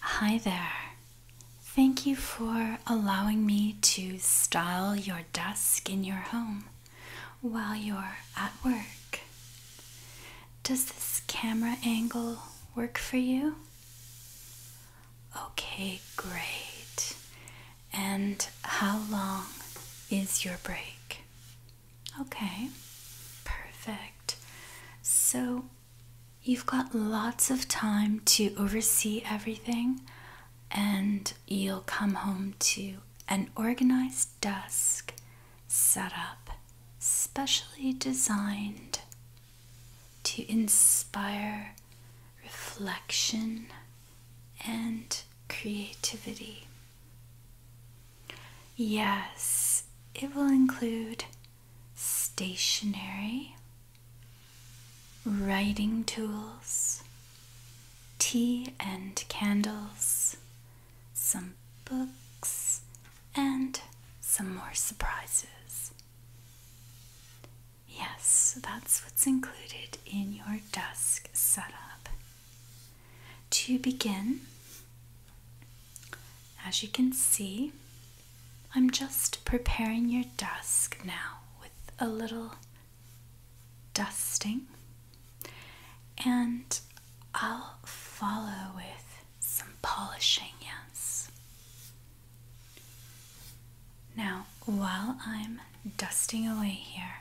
Hi there. Thank you for allowing me to style your desk in your home while you're at work. Does this camera angle work for you? Okay, great. And how long is your break? Okay, perfect. So you've got lots of time to oversee everything, and you'll come home to an organized desk set up specially designed to inspire reflection and creativity. Yes, it will include stationery, writing tools, tea and candles, some books, and some more surprises. Yes, that's what's included in your desk setup. To begin, as you can see, I'm just preparing your desk now with a little dusting, and I'll follow with some polishing, yes. Now, while I'm dusting away here,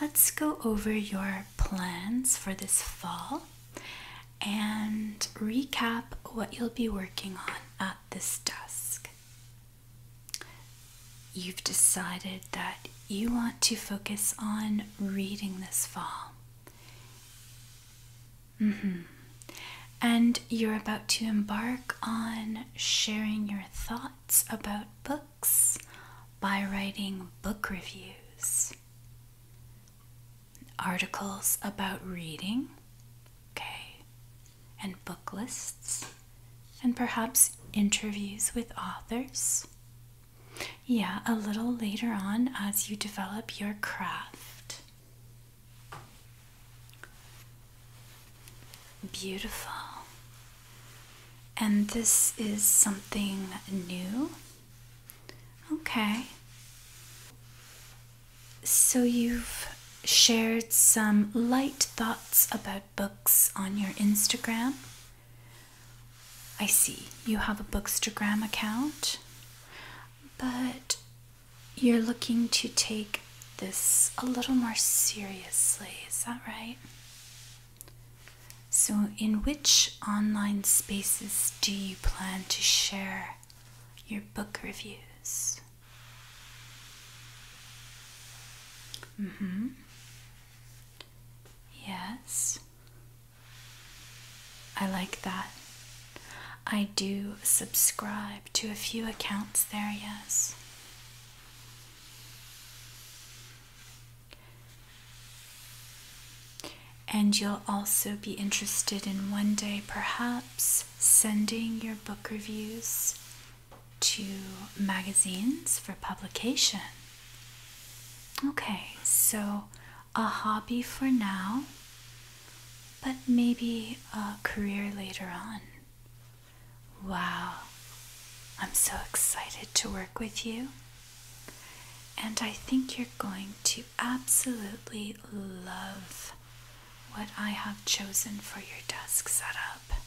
let's go over your plans for this fall and recap what you'll be working on at this desk. You've decided that you want to focus on reading this fall. Mm -hmm. And you're about to embark on sharing your thoughts about books by writing book reviews articles about reading, okay, and book lists, and perhaps interviews with authors. Yeah, a little later on as you develop your craft. Beautiful. And this is something new Okay. So you've shared some light thoughts about books on your Instagram. I see you have a Bookstagram account, but you're looking to take this a little more seriously, is that right? So, in which online spaces do you plan to share your book reviews? Mm hmm. Yes. I like that. I do subscribe to a few accounts there, yes. And you'll also be interested in one day perhaps sending your book reviews to magazines for publication. Okay, so a hobby for now, but maybe a career later on. Wow, I'm so excited to work with you. And I think you're going to absolutely love what I have chosen for your desk setup.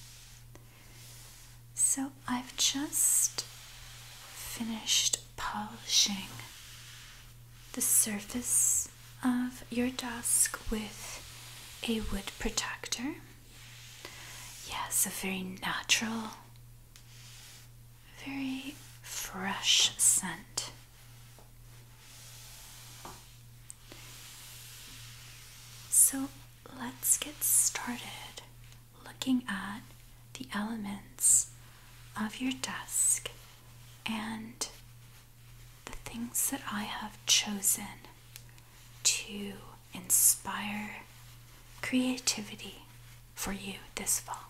So I've just finished polishing the surface of your desk with a wood protector. Yes, a very natural very fresh scent. So let's get started looking at the elements of your desk and the things that I have chosen to inspire creativity for you this fall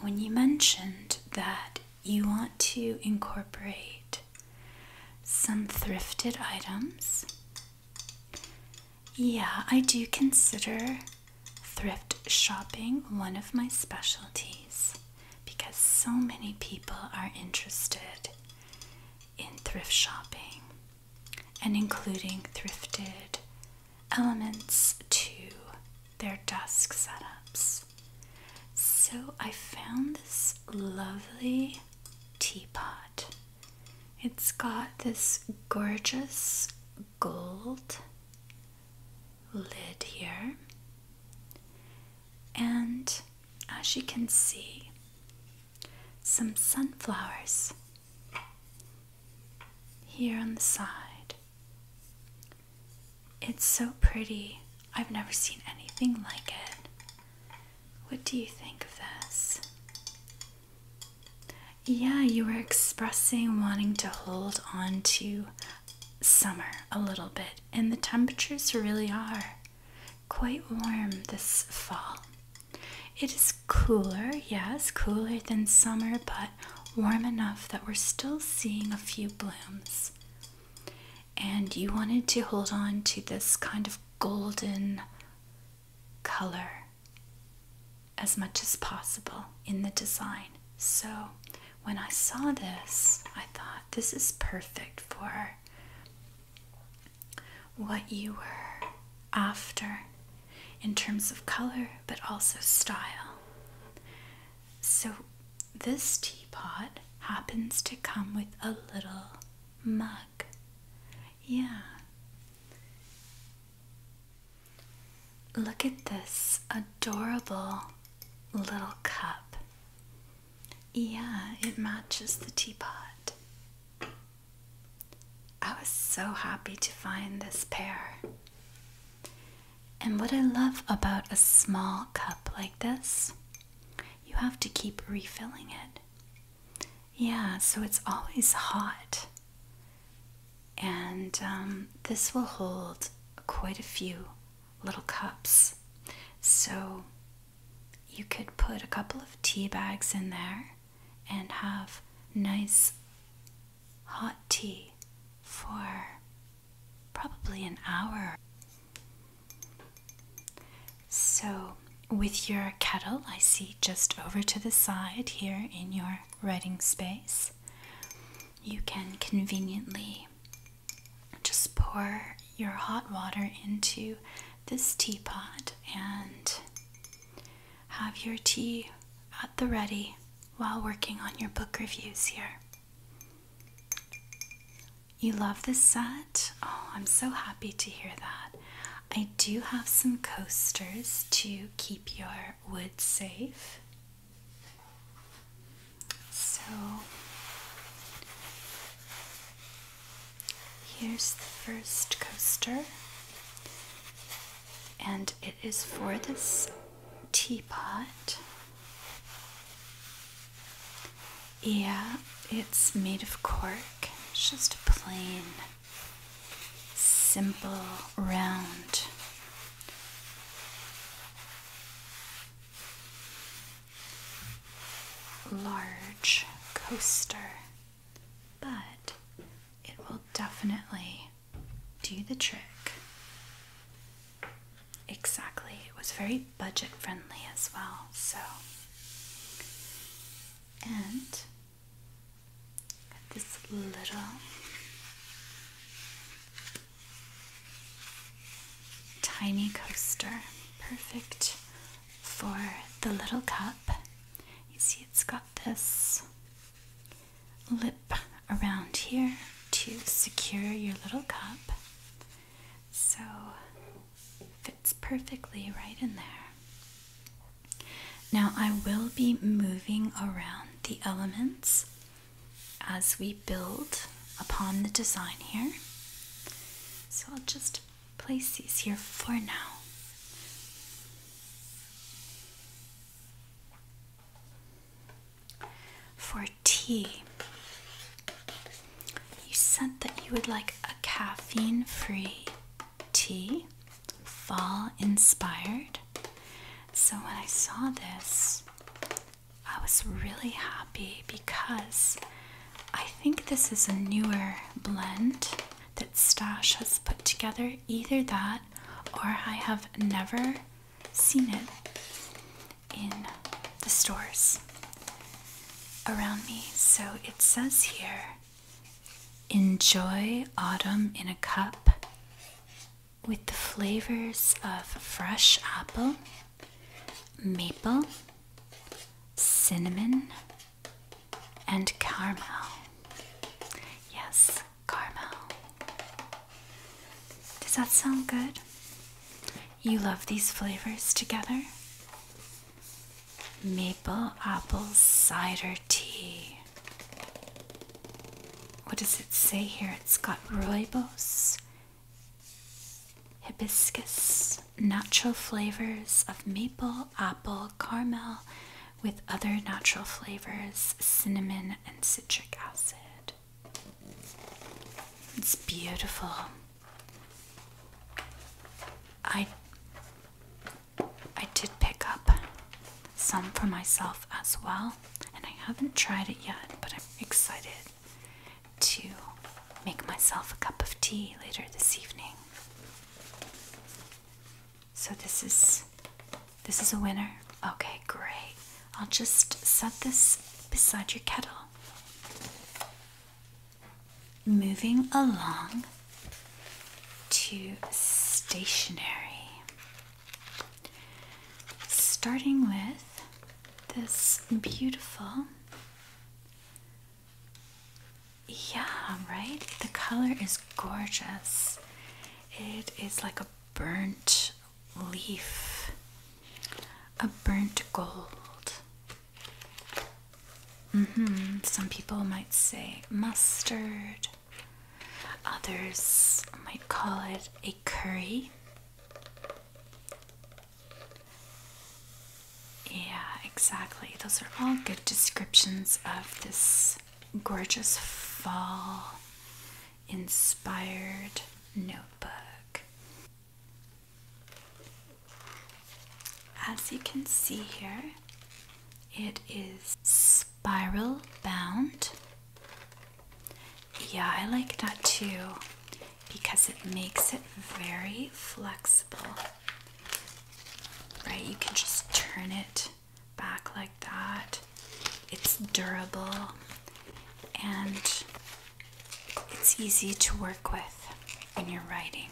when you mentioned that you want to incorporate some thrifted items, yeah, I do consider thrift shopping one of my specialties because so many people are interested in thrift shopping and including thrifted elements to their desk setups. So I found this lovely teapot. It's got this gorgeous gold lid here, and as you can see, some sunflowers here on the side. It's so pretty. I've never seen anything like it. What do you think of this? Yeah, you were expressing wanting to hold on to summer a little bit, and the temperatures really are quite warm this fall. It is cooler, yes, cooler than summer, but warm enough that we're still seeing a few blooms. And you wanted to hold on to this kind of golden color as much as possible in the design. So when I saw this, I thought this is perfect for what you were after in terms of color but also style. So, this teapot happens to come with a little mug. Yeah. Look at this adorable little cup. Yeah, it matches the teapot. I was so happy to find this pair. And what I love about a small cup like this, you have to keep refilling it. Yeah, so it's always hot. And um, this will hold quite a few little cups. So you could put a couple of tea bags in there and have nice hot tea for probably an hour. So, with your kettle, I see just over to the side here in your writing space, you can conveniently just pour your hot water into this teapot and have your tea at the ready while working on your book reviews here. You love this set? Oh, I'm so happy to hear that. I do have some coasters to keep your wood safe. So here's the first coaster and it is for this teapot. Yeah, it's made of cork. It's just a plain, simple, round. Large coaster, but it will definitely do the trick. Exactly. It was very budget friendly as well. So, and this little tiny coaster, perfect for the little cup. You see, it's got this lip around here to secure your little cup. So fits perfectly right in there. Now I will be moving around the elements as we build upon the design here. So I'll just place these here for now. For tea, you said that you would like a caffeine free tea, fall inspired. So when I saw this, I was really happy because I think this is a newer blend that Stash has put together. Either that or I have never seen it in the stores around me. So it says here enjoy autumn in a cup with the flavors of fresh apple, maple, cinnamon, and caramel. Yes, caramel. Does that sound good? You love these flavors together? Maple apple cider tea. What does it say here? It's got rooibos, hibiscus, natural flavors of maple, apple, caramel, with other natural flavors, cinnamon, and citric acid. It's beautiful. I I did pick up some for myself as well, and I haven't tried it yet, but I'm excited to make myself a cup of tea later this evening. So this is this is a winner. Okay, great. I'll just set this beside your kettle. Moving along to stationery. Starting with this beautiful. Yeah, right? The color is gorgeous. It is like a burnt leaf, a burnt gold. Mm-hmm. Some people might say mustard, others might call it a curry. Yeah, exactly. Those are all good descriptions of this gorgeous fall inspired notebook. As you can see here, it is spiral bound. Yeah, I like that too because it makes it very flexible. Right? You can just turn it back like that. It's durable and it's easy to work with when you're writing.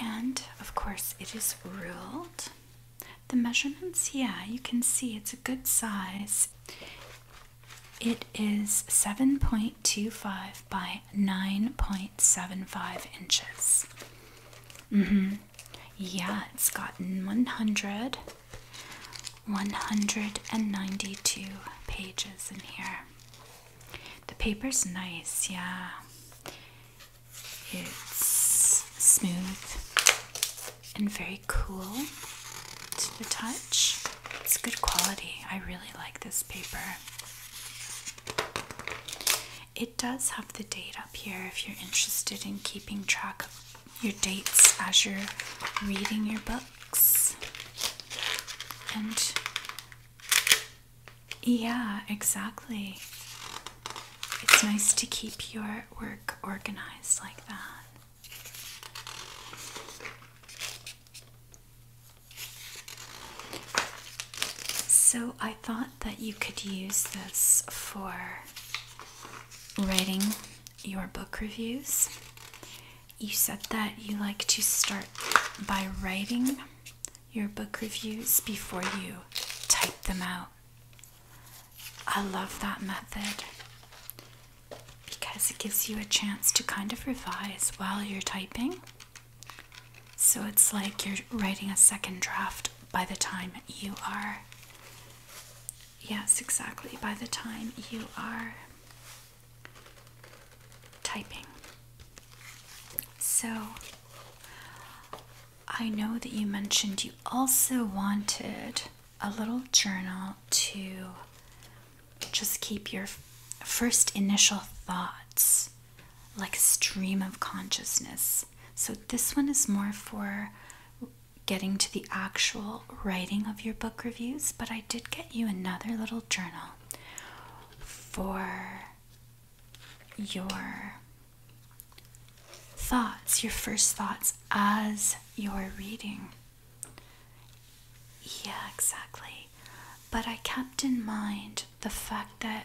And of course, it is ruled. The measurements, yeah, you can see it's a good size. It is 7.25 by 9.75 inches. Mm-hmm. Yeah, it's gotten 100, 192 pages in here. The paper's nice, yeah. It's smooth and very cool to the touch. It's good quality. I really like this paper. It does have the data here if you're interested in keeping track of your dates as you're reading your books. And yeah, exactly. It's nice to keep your work organized like that. So I thought that you could use this for writing your book reviews. You said that you like to start by writing your book reviews before you type them out. I love that method because it gives you a chance to kind of revise while you're typing. So it's like you're writing a second draft by the time you are Yes, exactly. By the time you are typing. So, I know that you mentioned you also wanted a little journal to just keep your first initial thoughts like a stream of consciousness. So, this one is more for getting to the actual writing of your book reviews, but I did get you another little journal for your thoughts, your first thoughts as you're reading. Yeah, exactly. But I kept in mind the fact that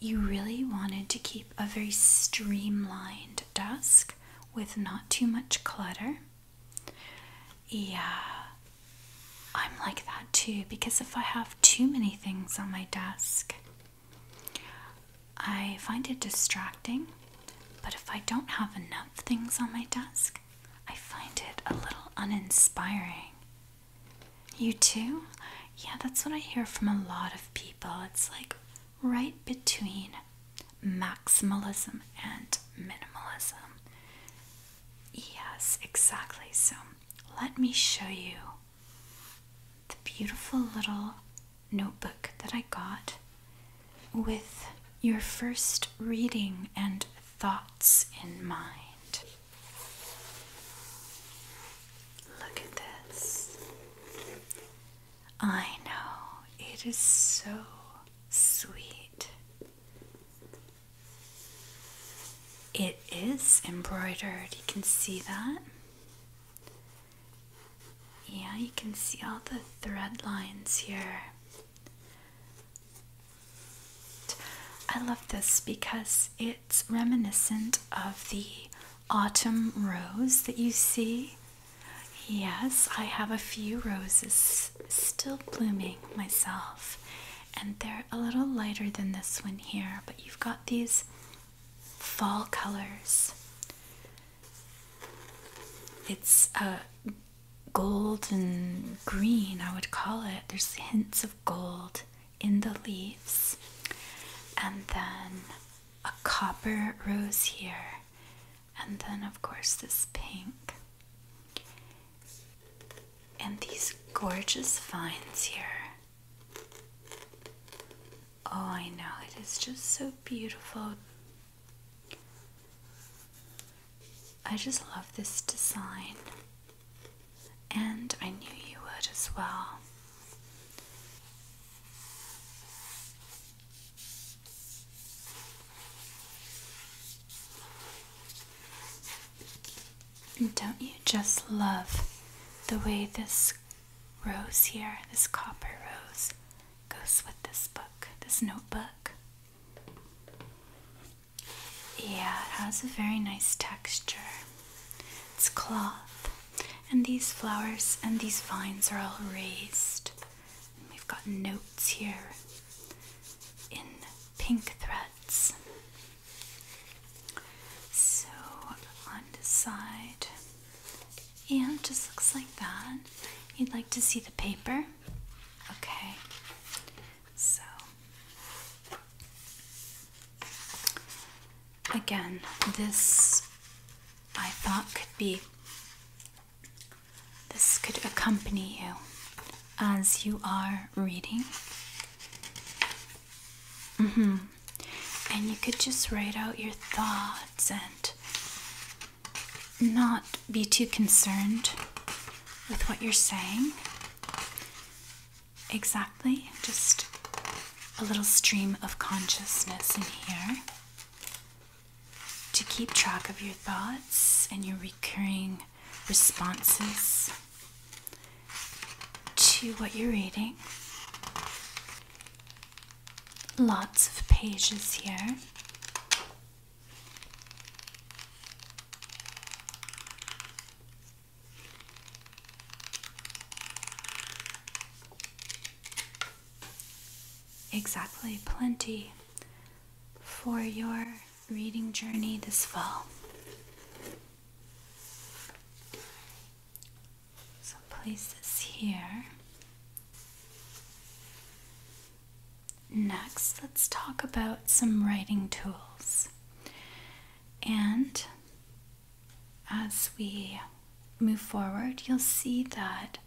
you really wanted to keep a very streamlined desk with not too much clutter. Yeah, I'm like that too because if I have too many things on my desk, I find it distracting. But if I don't have enough things on my desk, I find it a little uninspiring. You too? Yeah, that's what I hear from a lot of people. It's like, right between maximalism and minimalism. Yes, exactly. So let me show you the beautiful little notebook that I got with your first reading and thoughts in mind. Look at this. I know, it is so sweet. It is embroidered, you can see that. Yeah, you can see all the thread lines here. I love this because it's reminiscent of the autumn rose that you see Yes, I have a few roses still blooming myself, and they're a little lighter than this one here, but you've got these fall colors. It's a gold and green, I would call it. There's hints of gold in the leaves, and then a copper rose here, and then, of course, this pink. And these gorgeous vines here. Oh, I know, it is just so beautiful. I just love this design, and I knew you would as well don't you just love the way this rose here, this copper rose, goes with this book, this notebook? Yeah, it has a very nice texture. It's cloth. And these flowers and these vines are all raised. And we've got notes here in pink threads. So on the side. Yeah, just looks like that. You'd like to see the paper? Okay. So again, this I thought could be this could accompany you as you are reading. Mm-hmm. And you could just write out your thoughts and not be too concerned with what you're saying. Exactly. Just a little stream of consciousness in here to keep track of your thoughts and your recurring responses to what you're reading. Lots of pages here. Exactly, plenty for your reading journey this fall. So place this here. Next, let's talk about some writing tools. And as we move forward, you'll see that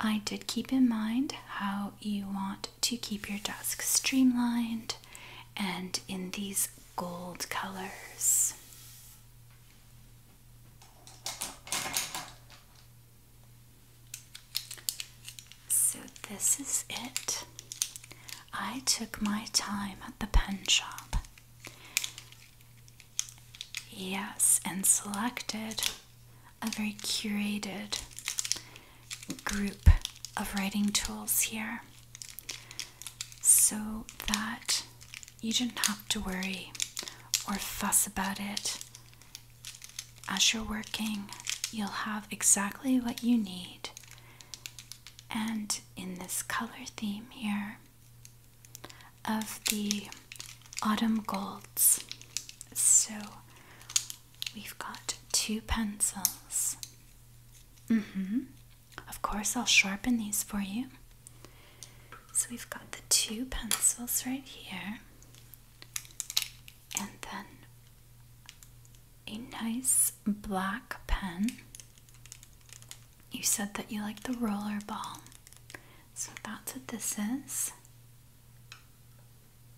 I did keep in mind how you want to keep your desk streamlined and in these gold colors. So, this is it. I took my time at the pen shop. Yes, and selected a very curated group of writing tools here so that you do not have to worry or fuss about it. As you're working, you'll have exactly what you need. And in this color theme here, of the Autumn Golds. So we've got two pencils. Mm-hmm. Of course, I'll sharpen these for you. So we've got the two pencils right here, and then a nice black pen. You said that you like the rollerball. So that's what this is.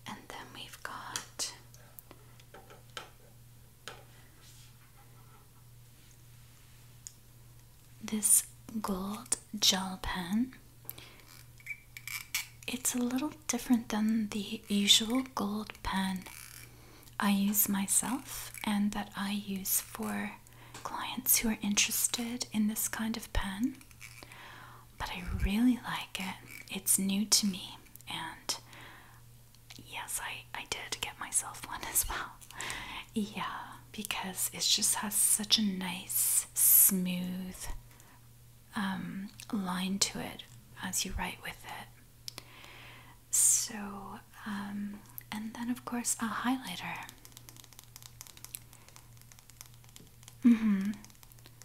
And then we've got this gold gel pen. It's a little different than the usual gold pen I use myself and that I use for clients who are interested in this kind of pen, but I really like it. It's new to me, and yes, I, I did get myself one as well. Yeah, because it just has such a nice, smooth um, line to it as you write with it. So, um, and then of course, a highlighter. Mm-hmm.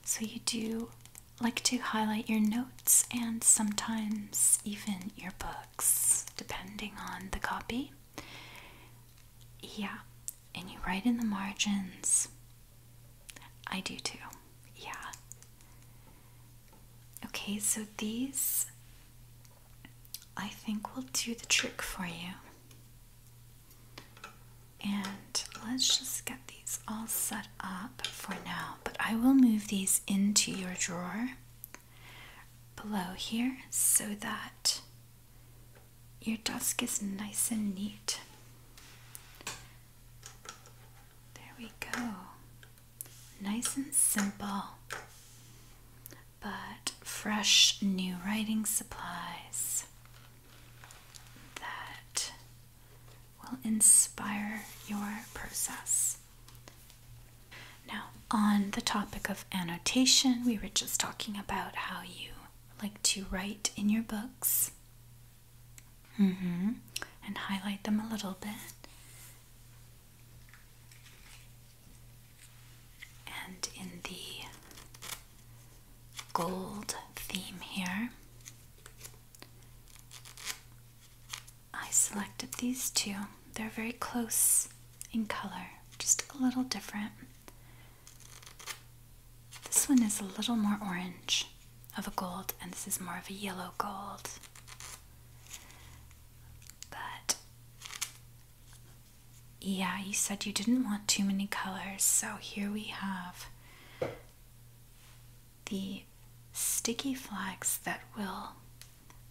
So you do like to highlight your notes and sometimes even your books, depending on the copy. Yeah. And you write in the margins. I do too. Yeah. Okay, so these I think will do the trick for you. And let's just get these all set up for now. But I will move these into your drawer below here so that your desk is nice and neat. There we go. Nice and simple but fresh new writing supplies that will inspire your process. Now, on the topic of annotation, we were just talking about how you like to write in your books mm-hmm. and highlight them a little bit and in the gold theme here, I selected these two. They're very close in color, just a little different. This one is a little more orange of a gold, and this is more of a yellow gold. But yeah, you said you didn't want too many colors, so here we have the sticky flags that will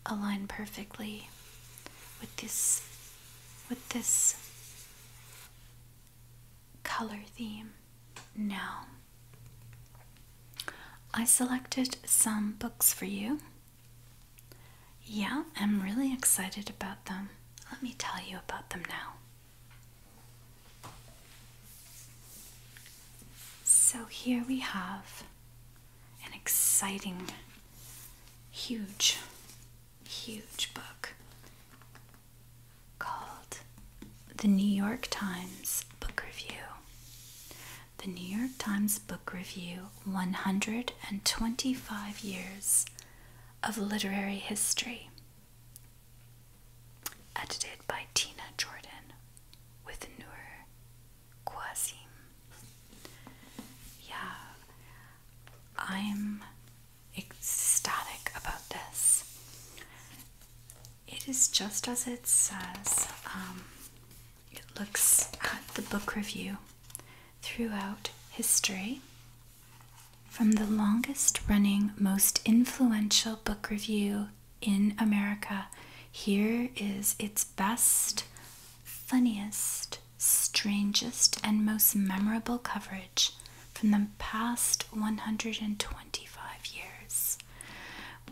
align perfectly with this with this color theme. Now, I selected some books for you yeah, I'm really excited about them. Let me tell you about them now. So, here we have an exciting, huge, huge book called The New York Times Book Review. The New York Times Book Review 125 Years of Literary History, edited by Tina Jordan with Noor Qasim. Yeah, I'm ecstatic about this. It is just as it says. Um, it looks at the book review throughout history from the longest running, most influential book review in America, here is its best, funniest, strangest, and most memorable coverage from the past 125 years,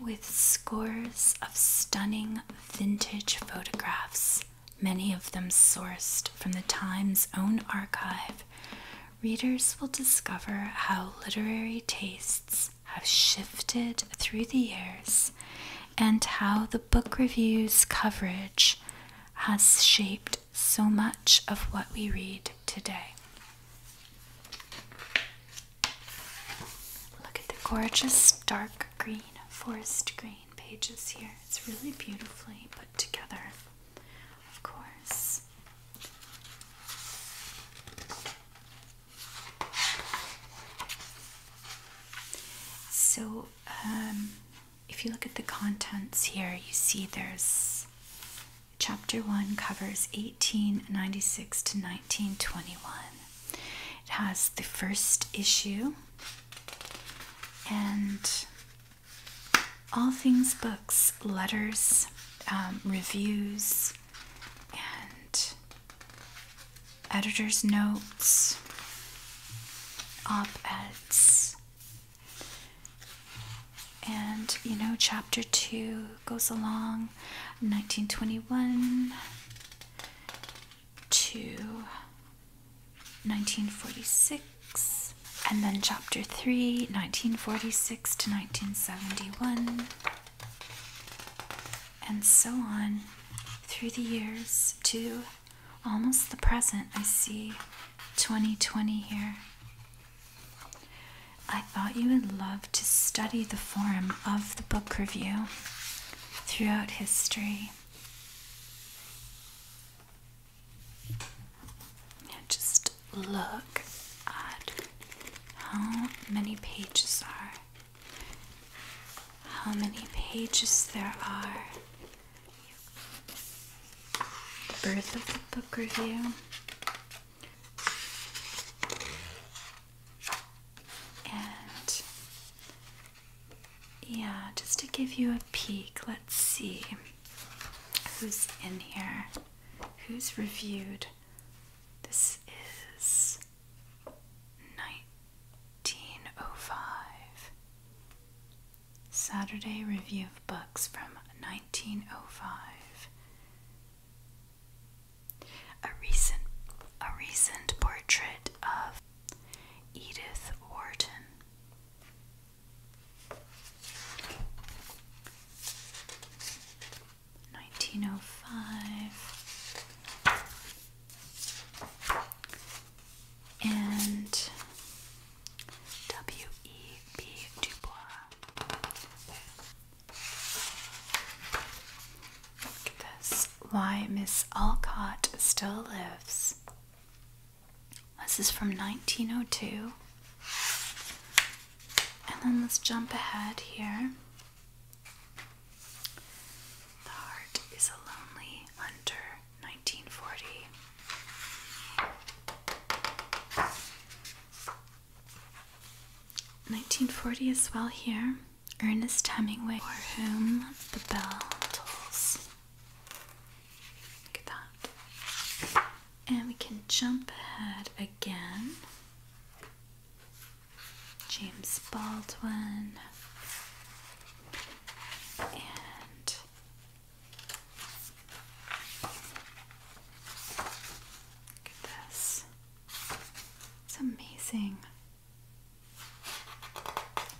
with scores of stunning vintage photographs many of them sourced from the Times' own archive, readers will discover how literary tastes have shifted through the years and how the book review's coverage has shaped so much of what we read today. Look at the gorgeous dark green, forest green pages here. It's really beautifully put together, of course. So, um, if you look at the contents here, you see there's chapter 1 covers 1896 to 1921. It has the first issue and all things books, letters, um, reviews, and editor's notes, op eds. And you know, chapter two goes along 1921 to 1946, and then chapter 3, 1946 to 1971, and so on through the years to almost the present. I see 2020 here. I thought you would love to study the form of the book review throughout history. Now just look at how many pages are, how many pages there are. The birth of the book review. And yeah, just to give you a peek. Let's see who's in here. Who's reviewed? This is 1905. Saturday Review of Books from 1905. A recent a recent portrait of Edith Wharton. Nineteen oh five and W. E. B. Du Bois. Look at this. Why Miss Alcott Still Lives. This is from 1902. And then let's jump ahead here. The Heart is a Lonely Hunter, 1940. Nineteen forty as well here. Ernest Hemingway, for whom the bell tolls. Look at that. And we can jump ahead again. James Baldwin and look at this. It's amazing.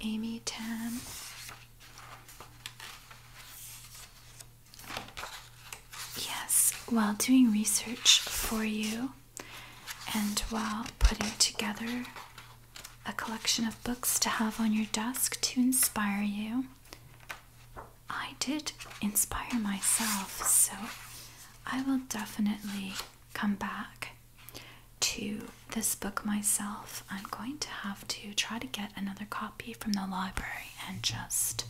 Amy Tan Yes, while doing research for you and while putting together a collection of books to have on your desk to inspire you, I did inspire myself, so I will definitely come back to this book myself. I'm going to have to try to get another copy from the library and just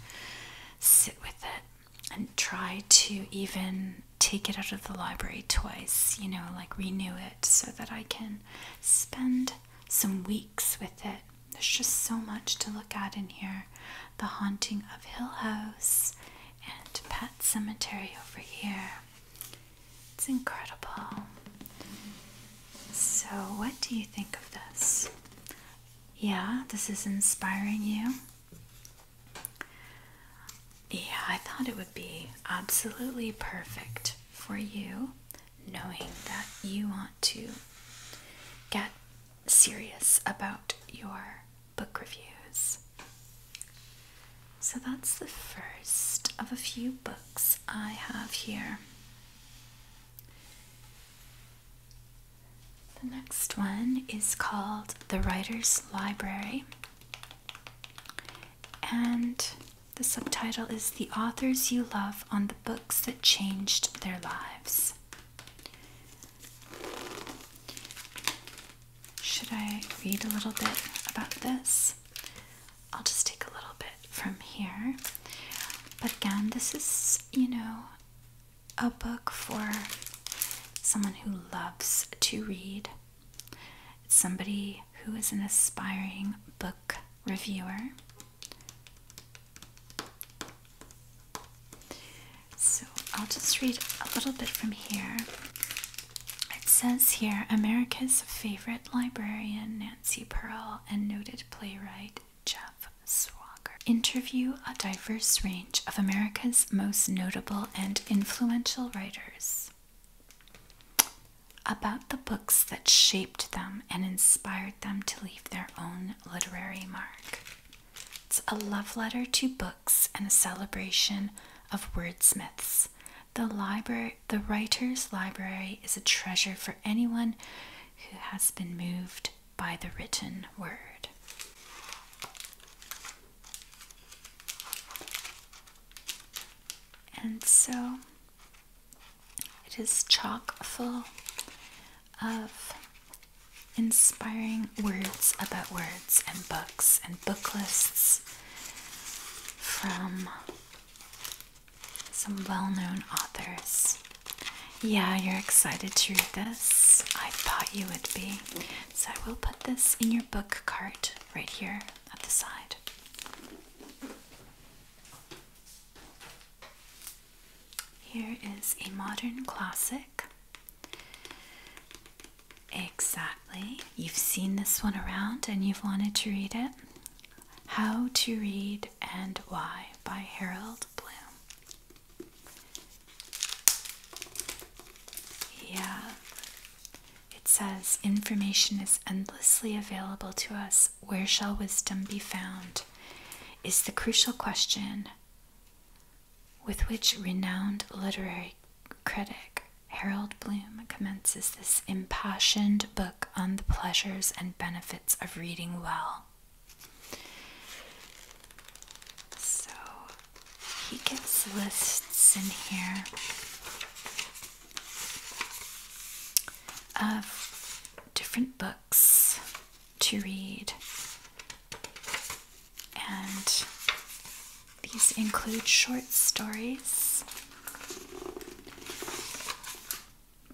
sit with it and try to even take it out of the library twice, you know, like renew it so that I can spend some weeks with it. There's just so much to look at in here. The Haunting of Hill House and Pet Cemetery over here. It's incredible. So, what do you think of this? Yeah, this is inspiring you. Yeah, I thought it would be absolutely perfect for you, knowing that you want to get serious about your book reviews. So that's the first of a few books I have here. The next one is called The Writer's Library, and the subtitle is The Authors You Love on the Books That Changed Their Lives. Should I read a little bit about this? I'll just take a little bit from here. But again, this is, you know, a book for someone who loves to read. It's somebody who is an aspiring book reviewer. So I'll just read a little bit from here. It says here America's favorite librarian, Nancy Pearl, and noted playwright Jeff Swagger interview a diverse range of America's most notable and influential writers about the books that shaped them and inspired them to leave their own literary mark. It's a love letter to books and a celebration of wordsmiths. The library the Writer's Library is a treasure for anyone who has been moved by the written word. And so it is chock full of inspiring words about words and books and book lists from some well known authors. Yeah, you're excited to read this. I thought you would be. So I will put this in your book cart right here at the side. Here is a modern classic. Exactly. You've seen this one around and you've wanted to read it. How to Read and Why by Harold Bloom. Yeah. It says, Information is endlessly available to us. Where shall wisdom be found? Is the crucial question with which renowned literary critic Harold Bloom commences this impassioned book on the pleasures and benefits of reading well. So he gets lists in here of different books to read, and these include short stories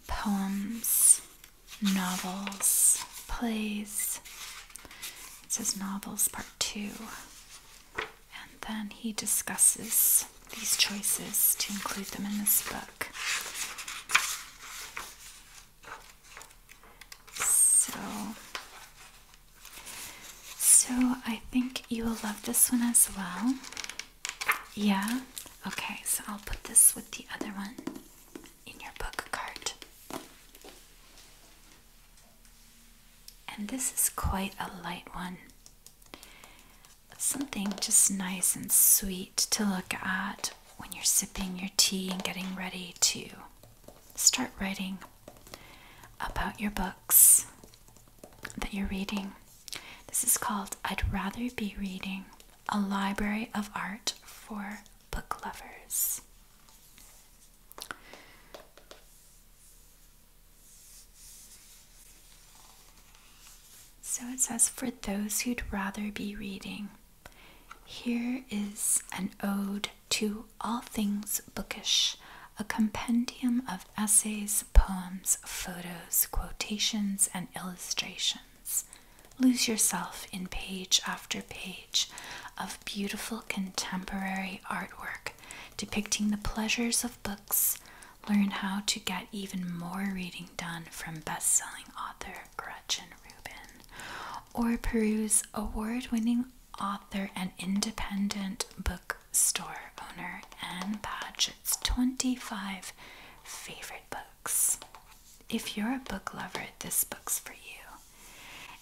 poems, novels, plays. It says novels part two. And then he discusses these choices to include them in this book. So, so I think you will love this one as well. Yeah? Okay, so I'll put this with the other one in your book cart. And this is quite a light one. Something just nice and sweet to look at when you're sipping your tea and getting ready to start writing about your books that you're reading. This is called I'd Rather Be Reading a library of art for book lovers. So it says, for those who'd rather be reading, here is an ode to all things bookish, a compendium of essays, poems, photos, quotations, and illustrations. Lose yourself in page after page of beautiful contemporary artwork depicting the pleasures of books. Learn how to get even more reading done from best selling author Gretchen Rubin, or peruse award winning author and independent bookstore owner Ann Paget's 25 favorite books. If you're a book lover, this book's for you.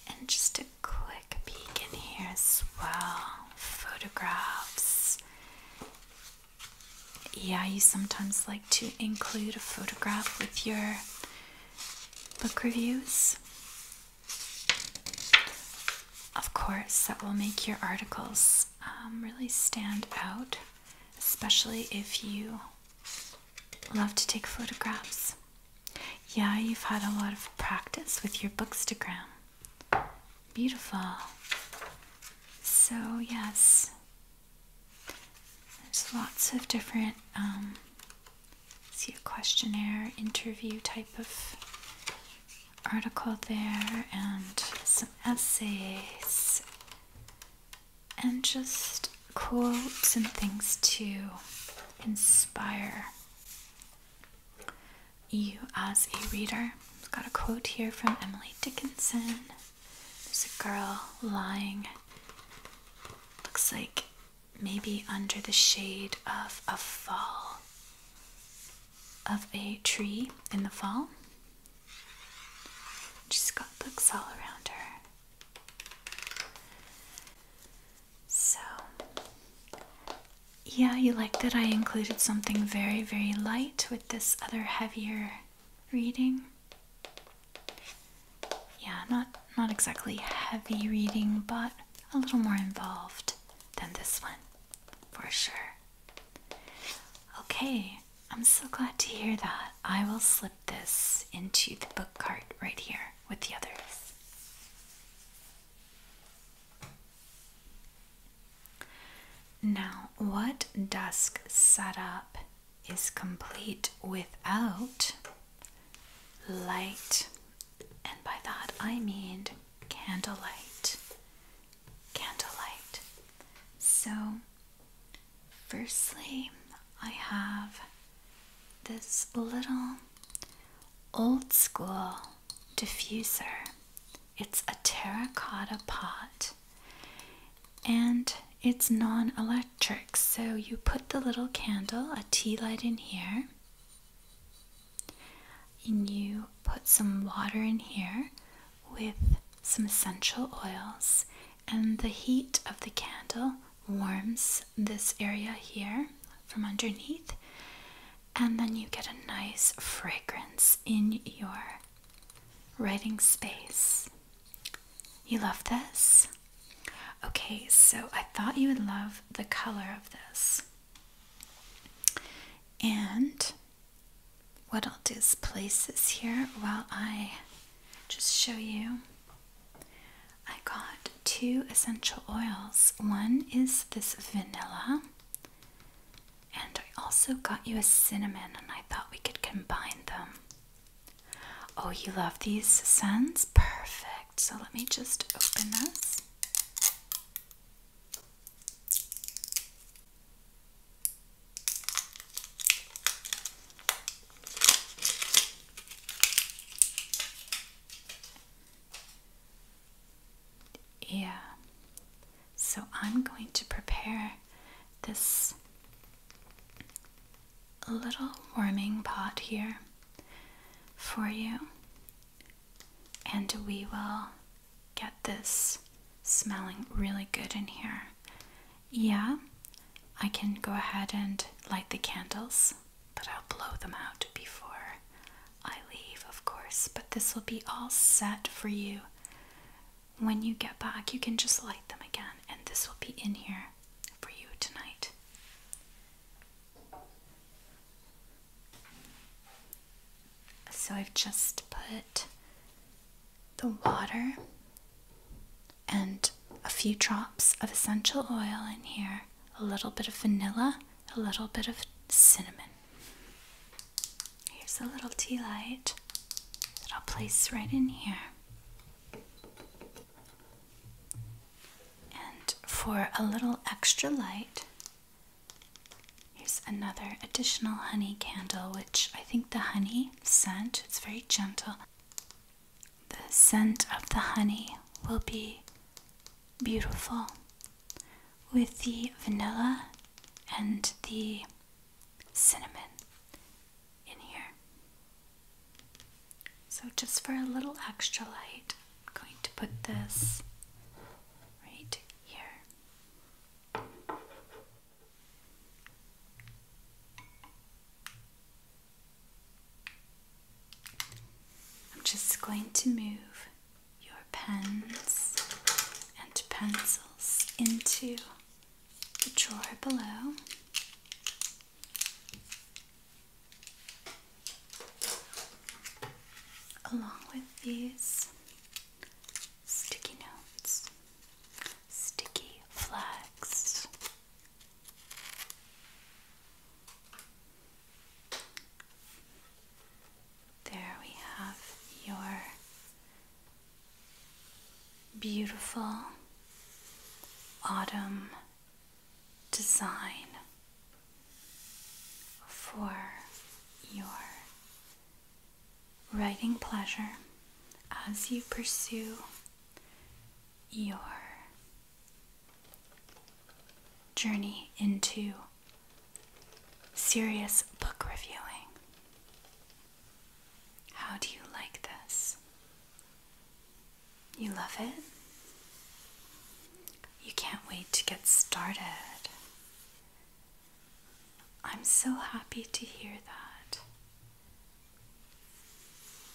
And just a quick peek in here as well. Photographs. Yeah, you sometimes like to include a photograph with your book reviews. Of course, that will make your articles um, really stand out especially if you love to take photographs. Yeah, you've had a lot of practice with your bookstagram. Beautiful. So, yes, there's lots of different, um, see a questionnaire, interview type of article there, and some essays and just quotes and things to inspire you as a reader. got a quote here from Emily Dickinson. There's a girl lying, looks like maybe under the shade of a fall of a tree in the fall. She's got books all around her. So, yeah, you liked that I included something very, very light with this other heavier reading. Yeah, not not exactly heavy reading, but a little more involved than this one, for sure. Okay, I'm so glad to hear that. I will slip this into the book cart right here with the others. Now, what dusk setup is complete without light? And by that I mean candlelight. Candlelight. So, Firstly, I have this little old school diffuser. It's a terracotta pot and it's non electric. So you put the little candle, a tea light, in here, and you put some water in here, with some essential oils, and the heat of the candle warms this area here from underneath, and then you get a nice fragrance in your writing space. You love this? Okay, so I thought you would love the color of this. And what I'll do is place this here while I just show you. I got two essential oils. One is this vanilla, and I also got you a cinnamon, and I thought we could combine them. Oh, you love these scents? Perfect. So let me just open this. Yeah. So I'm going to prepare this little warming pot here for you, and we will get this smelling really good in here yeah, I can go ahead and light the candles, but I'll blow them out before I leave, of course. But this will be all set for you. When you get back, you can just light them again, and this will be in here for you tonight. So I've just put the water and a few drops of essential oil in here, a little bit of vanilla, a little bit of cinnamon. Here's a little tea light that I'll place right in here. And for a little extra light, here's another additional honey candle, which I think the honey scent. It's very gentle. The scent of the honey will be beautiful with the vanilla and the cinnamon in here. So, just for a little extra light, I'm going to put this right here. I'm just going to move your pens and pencils into the drawer below. Along with these sticky notes, sticky flags. There we have your beautiful autumn design for your writing pleasure as you pursue your journey into serious book reviewing. How do you like this? You love it? You can't wait to get started. I'm so happy to hear that.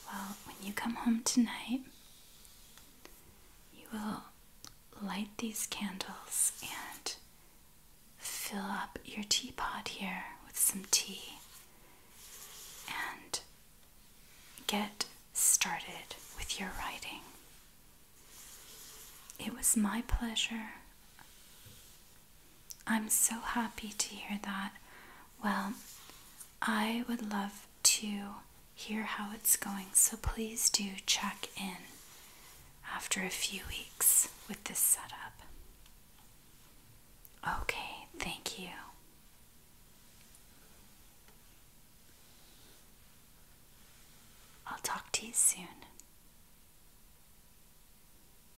Well, when you come home tonight, you will light these candles and fill up your teapot here with some tea and get started with your writing. It was my pleasure I'm so happy to hear that. Well, I would love to hear how it's going, so please do check in after a few weeks with this setup. Okay, thank you. I'll talk to you soon.